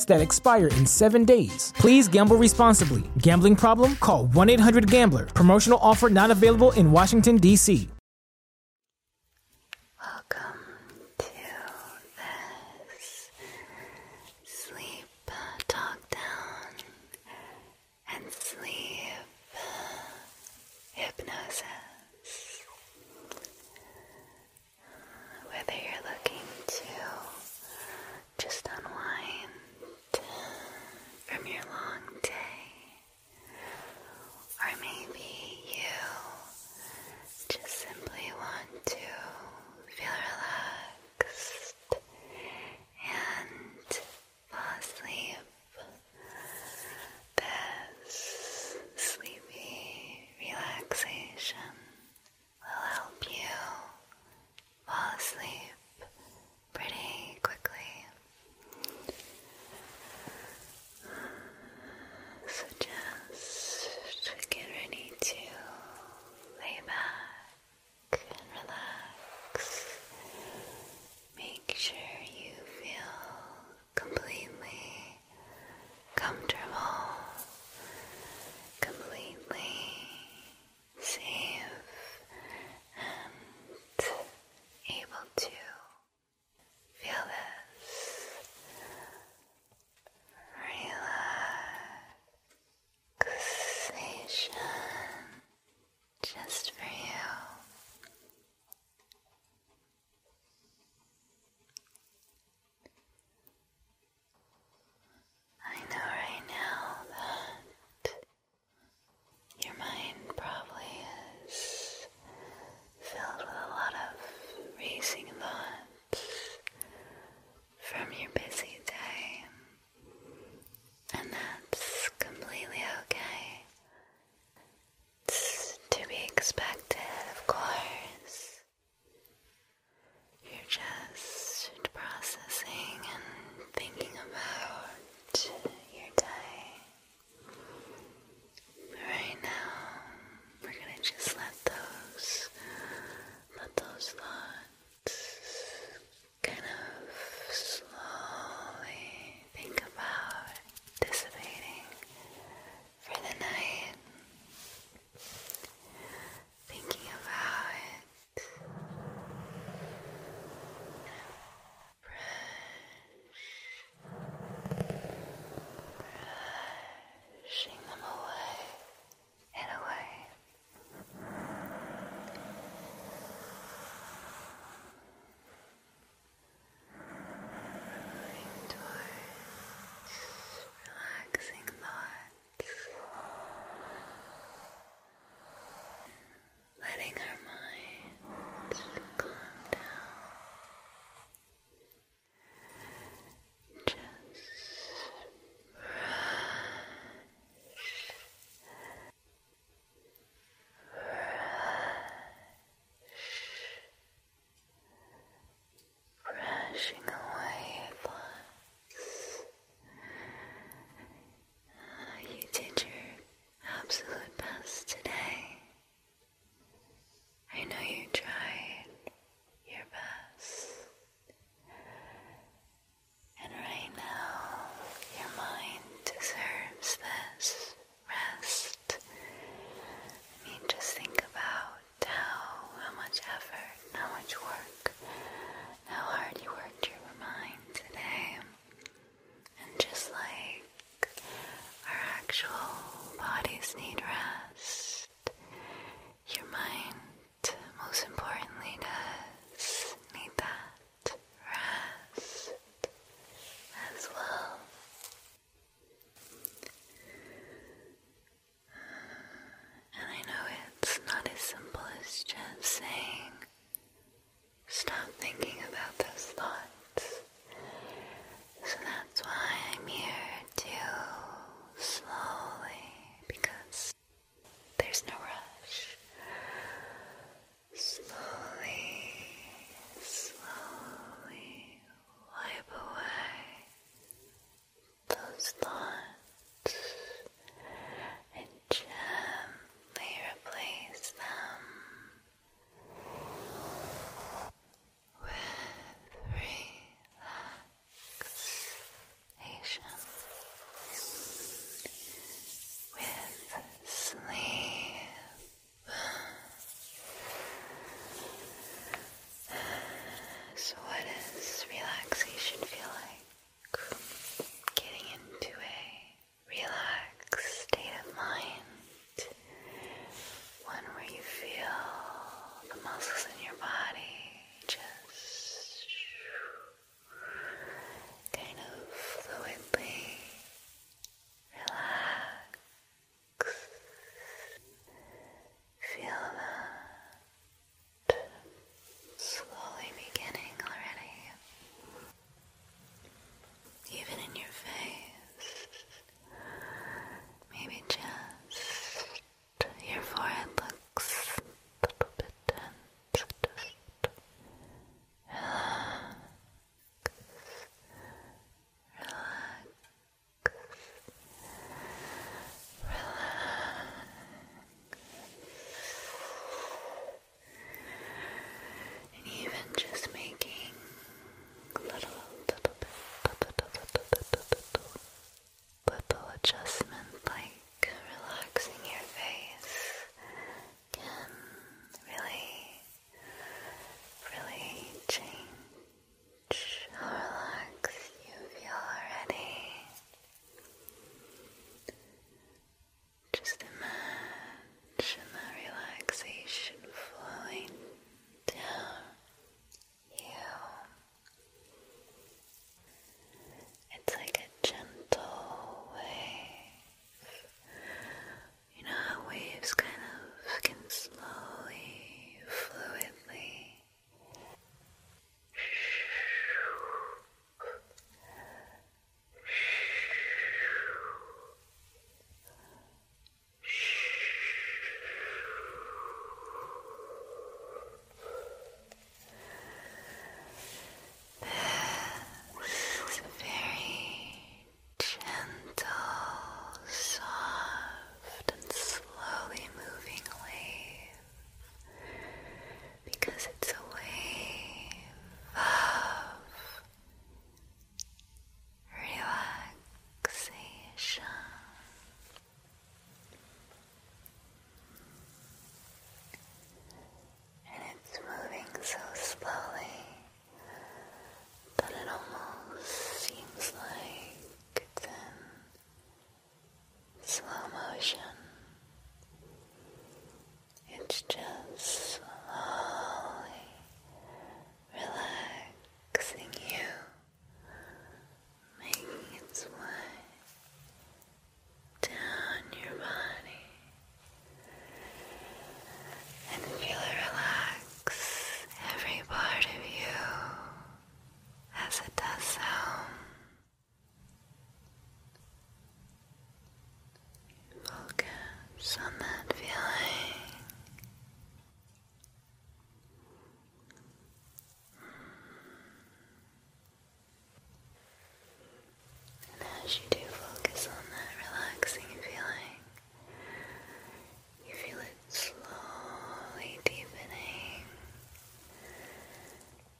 that expire in seven days. Please gamble responsibly. Gambling problem? Call 1 800 Gambler. Promotional offer not available in Washington, D.C. Welcome to this sleep talk down and sleep hypnosis whether you're looking to just unwind from your long day, or maybe you just simply want to feel relaxed and fall asleep. This sleepy relaxation will help you fall asleep pretty quickly. So just get ready to lay back relax. Make sure you feel completely comfortable, completely safe, and able to feel this relaxation just for you. I know right now that your mind probably is filled with a lot of racing thoughts from your busy day, and that's completely okay. It's to be expected, of course. You're just processing and thinking about your day. right now, we're gonna just let those, let those thoughts kind of slowly think about dissipating for the night, thinking about it. brushing them away and away. Moving towards relaxing thoughts, letting our mind calm down. Just rush. Rush brushing away thoughts. Uh, you did your absolute best today. I know you tried your best. And right now, your mind deserves this rest. I mean, just think about tell how much effort, how much work, how hard you worked your mind today. And just like our actual bodies need rest, your mind, most importantly, does need that rest as well. And I know it's not as simple as just saying, stop thinking about those thoughts. So that's why I'm here to slowly, because there's no rush. Slowly, slowly wipe away those thoughts and gently replace them with relaxation, with sleep. So, what does relaxation feel like? Getting into a relaxed state of mind, one where you feel the muscles in your body just kind of fluidly relax. Feel that slowly beginning already, even in your face. Maybe just your forehead looks a little bit tense. Just Relax. And even just making little, little bit, like relaxing your face, can really, really change how relaxed you feel already. Just imagine that relaxation flowing down you. It's like a gentle wave. You know how waves kind of can slowly you fluidly. This very gentle, soft, and slowly moving wave because it's a wave of relaxation. And it's moving so slowly that it almost seems like it's in slow motion. It's just slowly relaxing you, making its way down your body and feel it relax every part of you as it does so. Focus on that feeling. And as you do focus on that relaxing feeling, you feel it slowly deepening,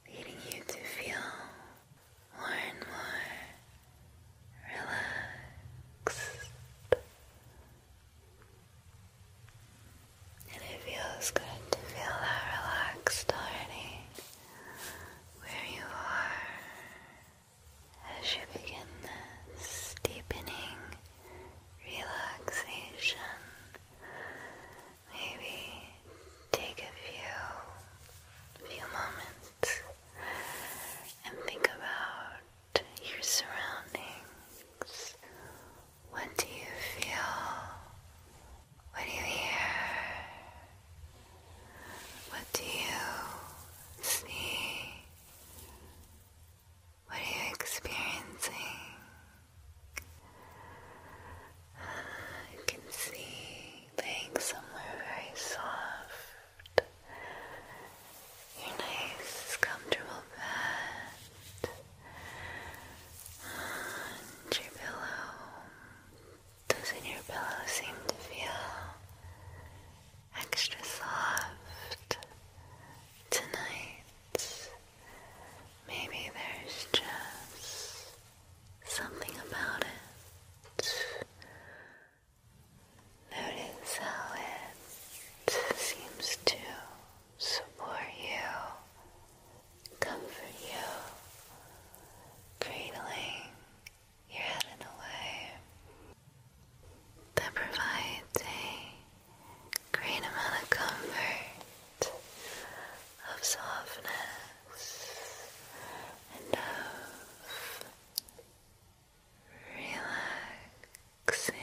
leading you to feel more and more relaxed. And it feels good to feel that relaxed already where you are as you begin this deepening relaxation. Maybe take a few few moments and think about your surroundings. What do you feel? What do you hear? What do you see? What are you experiencing? I can see laying somewhere very soft. Your nice, comfortable bed. And your pillow. Doesn't your pillow seem to feel extra soft? tonight, maybe there's just something about it. Notice how it seems to support you, comfort you, cradling your head in a way that provides a great amount of comfort, of softness, and of relaxation.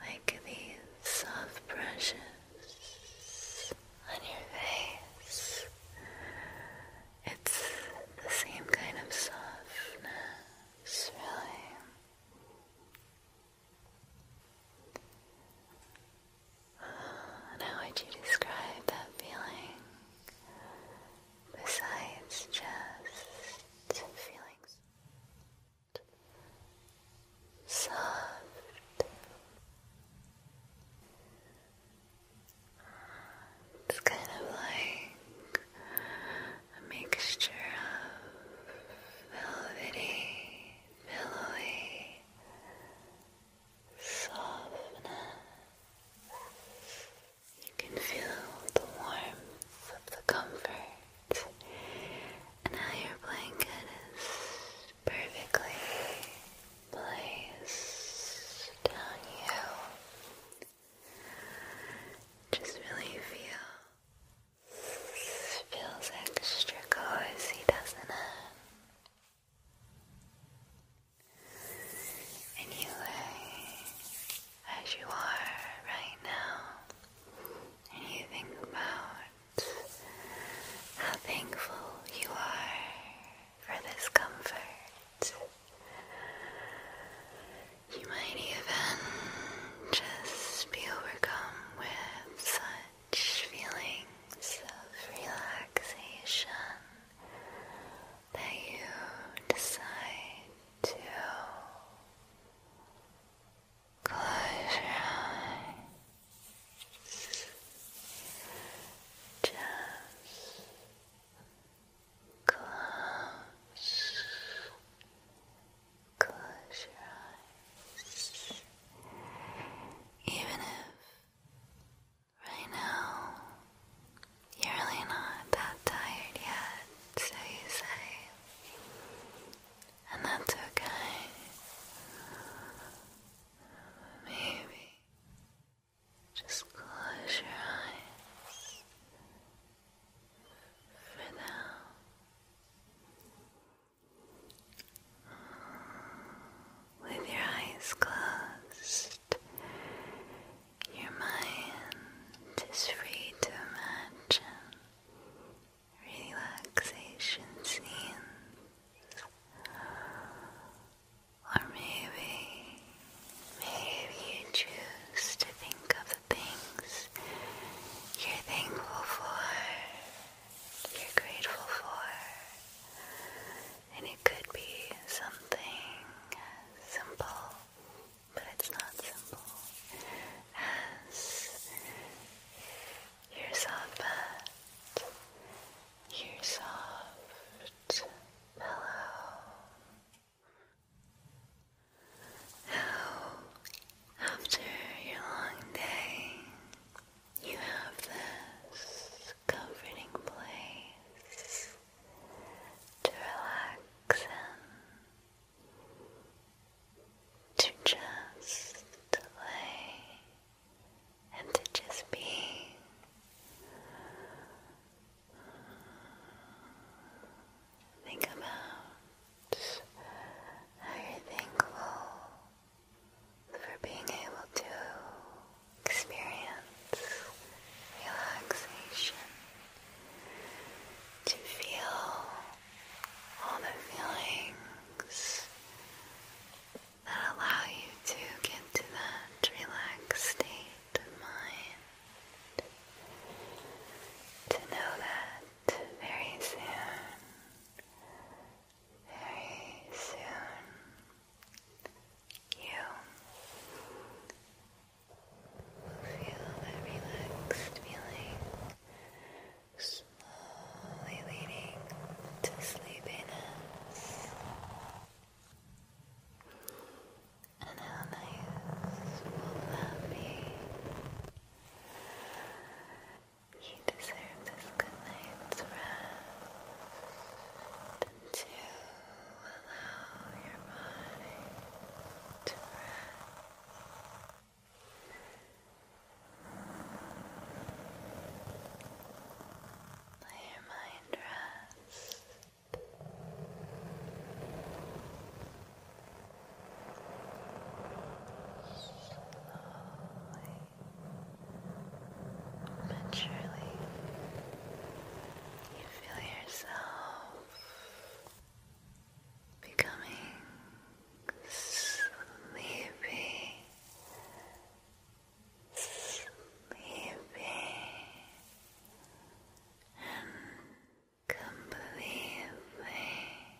Like these soft brushes on your face it's the same kind of softness, really. how would you describe that feeling besides just feelings? Soft. It's kind of like a mixture of velvety, pillowy softness. You can feel the warmth of the comfort and how your blanket is perfectly placed on you. Just really feel. Feels extra cozy, doesn't it? Anyway, as you are right now, and you think about how thankful you are for this comfort. You might even just be overcome with such feelings of relaxation that you decide to close your eyes. Just Close. Close your eyes. Even if right now you're really not that tired yet, so you say, and that's okay. Maybe just close your eyes for now. With your eyes closed, your mind is free to imagine relaxation scenes or maybe, maybe you choose to think of the things you're thankful for, you're grateful for, and it could be something simple, but it's not simple, as you soft, but soft. Hello. How, after your long day, you have this comforting place to relax in, to just lay and to just be. Think about how thankful for being able to experience relaxation, to feel all the feelings that allow you to get to that relaxed state of mind. To know that very soon, very soon, you feel that relaxed feeling slowly leading to sleepiness. And how nice will that be? You deserve this good night's rest to allow your body Let your mind rest rest. Slowly, maturely, you feel yourself becoming sleepy sleepy and completely relaxed.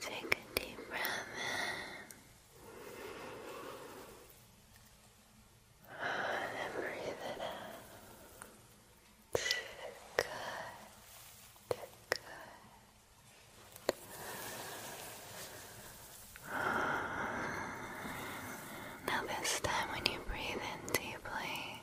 Take a deep breath in and breathe it out. Good, good. Now, this time when you breathe in deeply,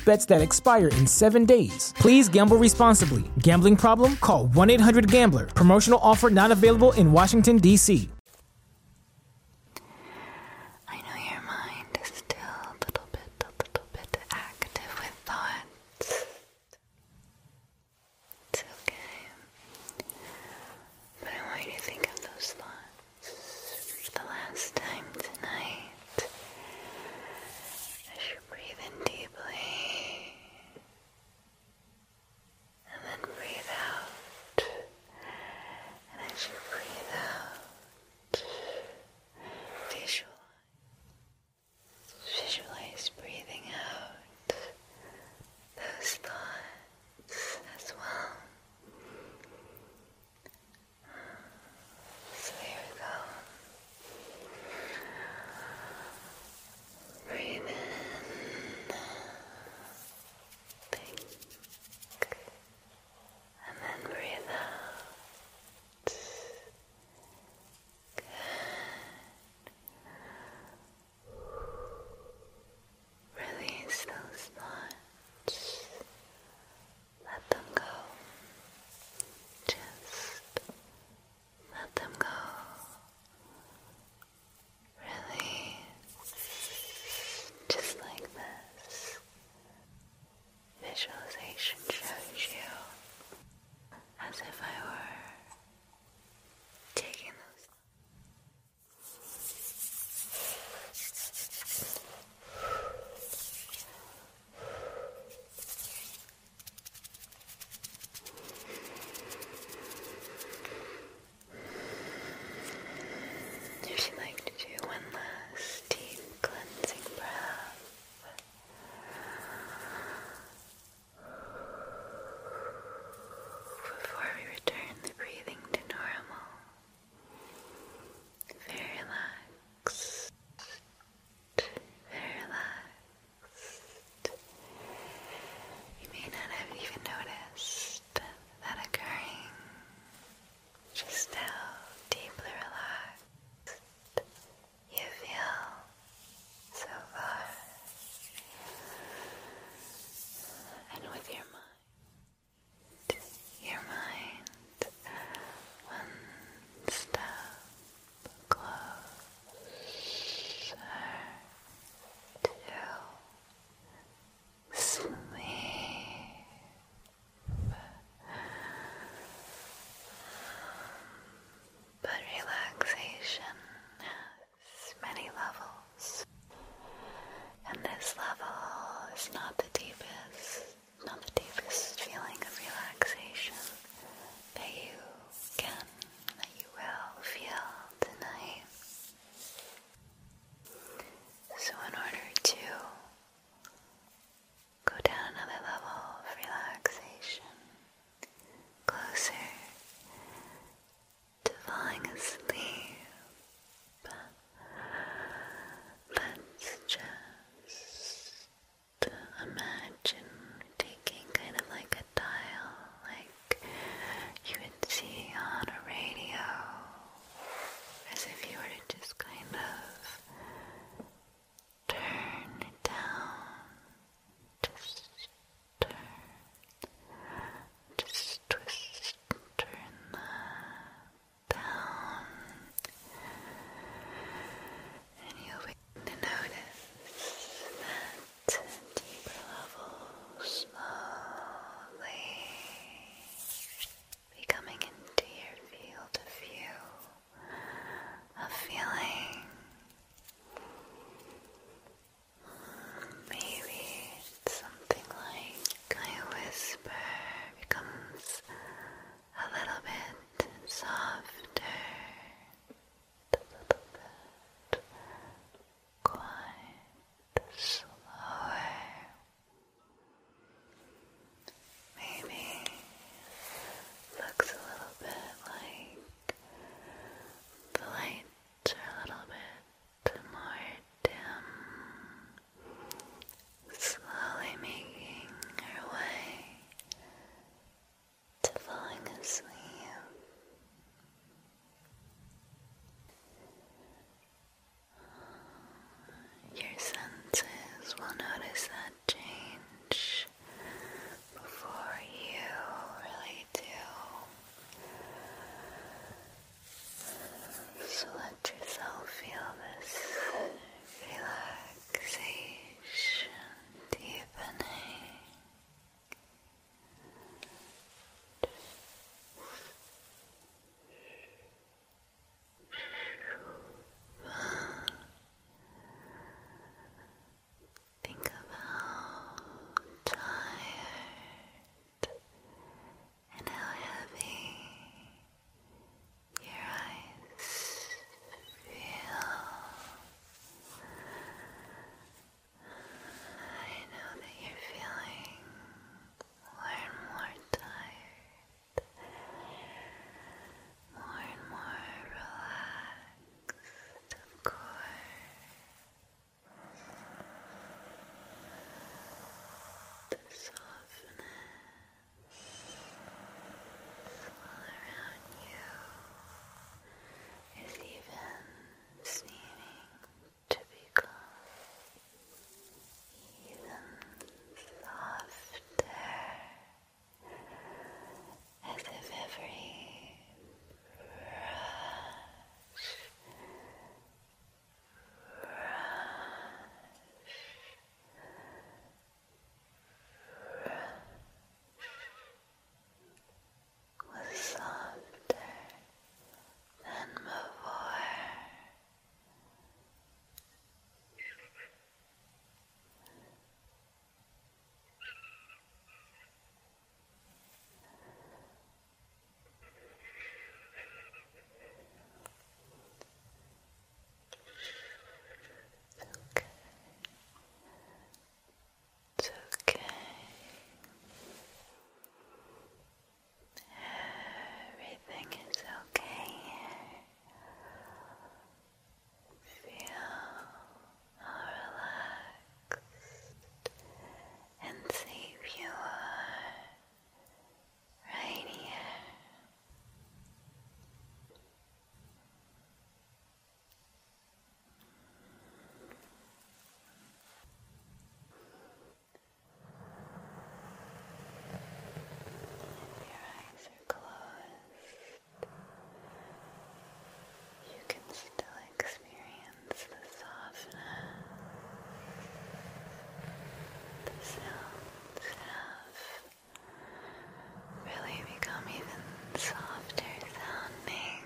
bets that expire in seven days. Please gamble responsibly. Gambling problem? Call 1 800 Gambler. Promotional offer not available in Washington, D.C. I know your mind is still a little bit, a little bit active with thoughts. It's okay. But I want you to think of those thoughts for the last time tonight as you breathe in deeply and then breathe out. And as you breathe out, visualize, visualize breathing out those thoughts as well. So here we go. Breathe in, think, and then breathe out. Release those thoughts let them go. Just let them go. Really, just like this. Visualization shows you as if I were taking those. If you'd like to do one last deep cleansing breath. Before we return the breathing to normal, very relaxed. You may not have even noticed that occurring. Just how deeply relaxed you feel so far, and with your mind your mind one step closer to sleep. But relaxation has many levels, and this level is not the deepest not the deepest feeling of relaxation that you can, that you will feel tonight. So, in order to go down another level of relaxation, closer to falling asleep, Let's just imagine taking kind of like a dial, like you would see on a radio, as if you were to just kind of turn it down, just turn, just twist turn that down, and you'll begin to notice that deeper levels slowly becoming into your field of view of feeling. Maybe something like my whisper becomes a little bit softer, a little bit quite Maybe looks a little bit like the lights a little bit more dim slowly making your way to falling asleep. Your senses will notice that change before you really do so let yourself feel this relaxation deepening. Think of how tired and how heavy your eyes feel. I know that you're feeling more and more tired, more and more relaxed, of course. The softness all around you is even seeming to become even softer, as if every brush brush was softer than before okay. It's okay. Everything is okay Feel how relaxed and safe you are right here. If your eyes are closed, you can still experience the softness the sounds have really become even softer sounding.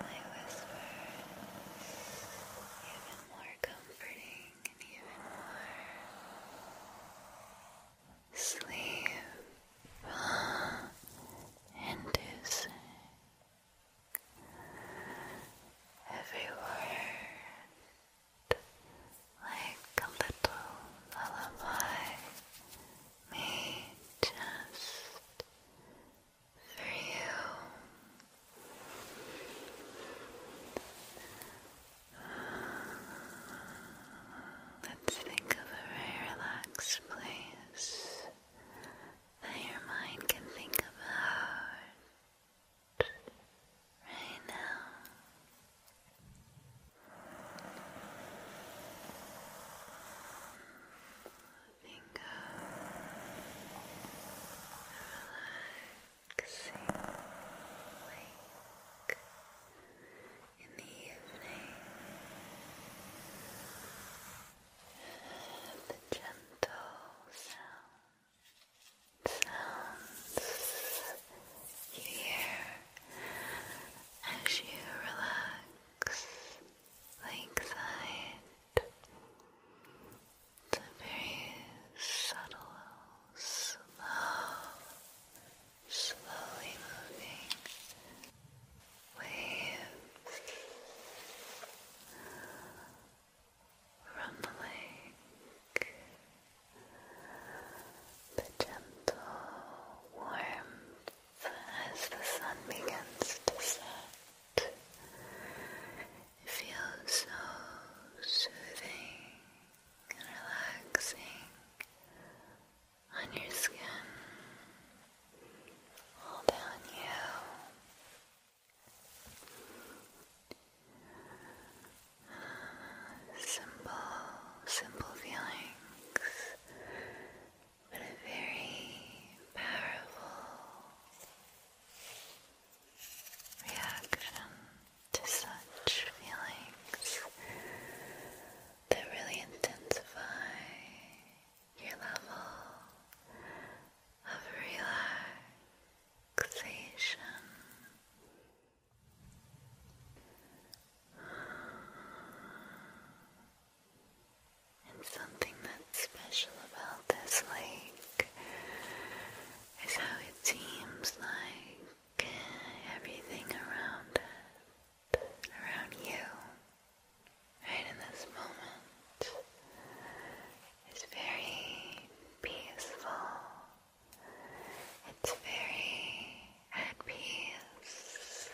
My whispers even more comforting and even more sleep. And every word like a little lullaby me just for you. Let's think of a very relaxed place that your mind can think about right now. Think of relaxing in the evening the gentle sounds you hear as you relax like that. very subtle, slow, slowly moving waves from the lake, the gentle warmth as the sun begins to set. It feels so soothing and relaxing on your skin, all down you. Simple, simple feelings, but a very powerful reaction to such feelings that really intensify your level of relaxation. And something that's special about this lake is how it seems like everything around around you, right in this moment is very peaceful. It's very at peace.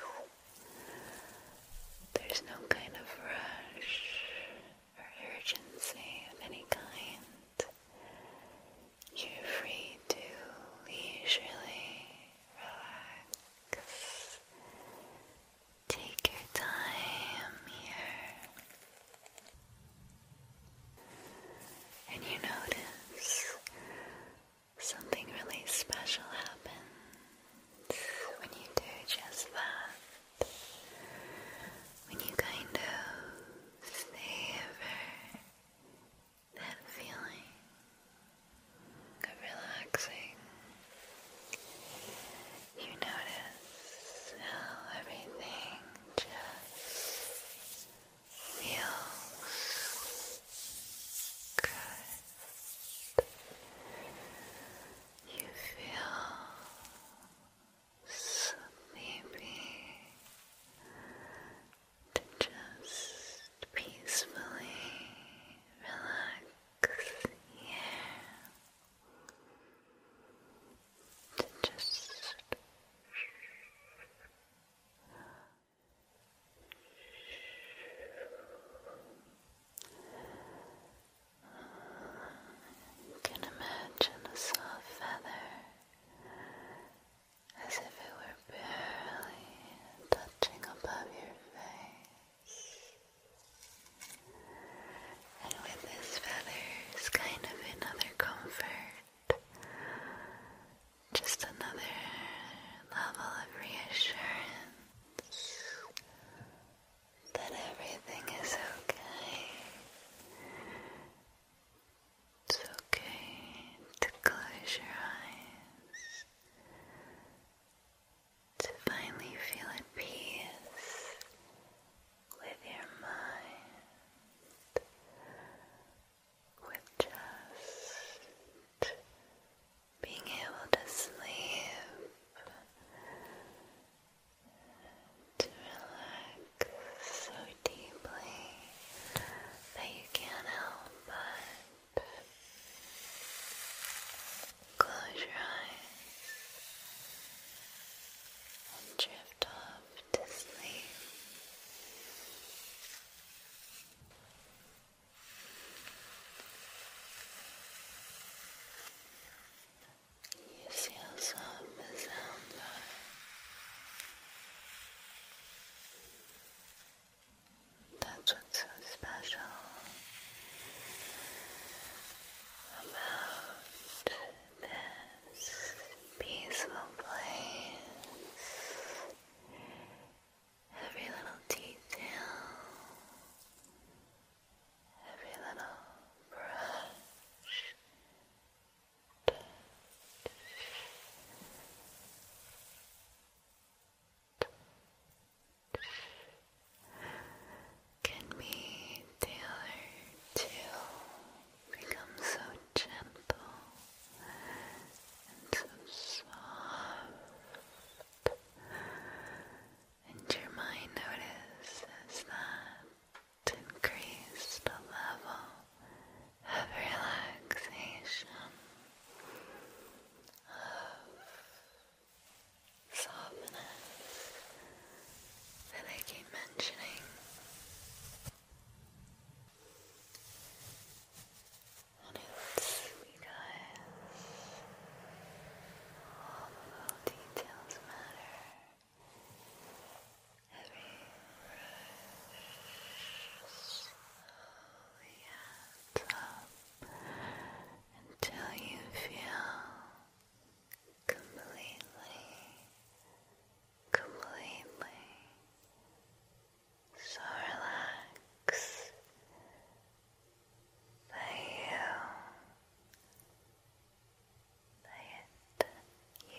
There's no kind of rush or urgency of any kind. You're free to leisurely relax Take your time here. And you notice something really special happens when you do just that. When you kind of savor that feeling of relaxing you notice how everything just feels good. You feel sleepy to just peacefully relax here to just you can imagine a soft feather as if it were barely touching above your face. And with this feather it's kind of another comfort, just another level of reassurance that everything is okay. It's okay to close your eyes to finally feel at peace with your mind, with just being able to sleep, to relax so deeply that you can't help but Close your eyes and drift off to sleep. You see how soft the sounds that's what's so special about this peaceful place. Every little detail, every little brush, can be tailored to become so gentle and so soft, and your mind notices that increased the level of relaxation softness that I keep mentioning. And it's because all the little details matter. Every brush slowly oh, adds until you feel completely, completely so relaxed that you, that you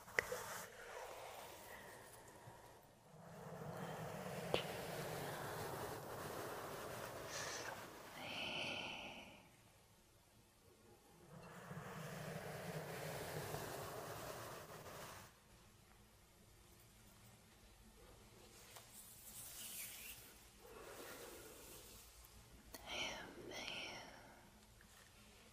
I am you.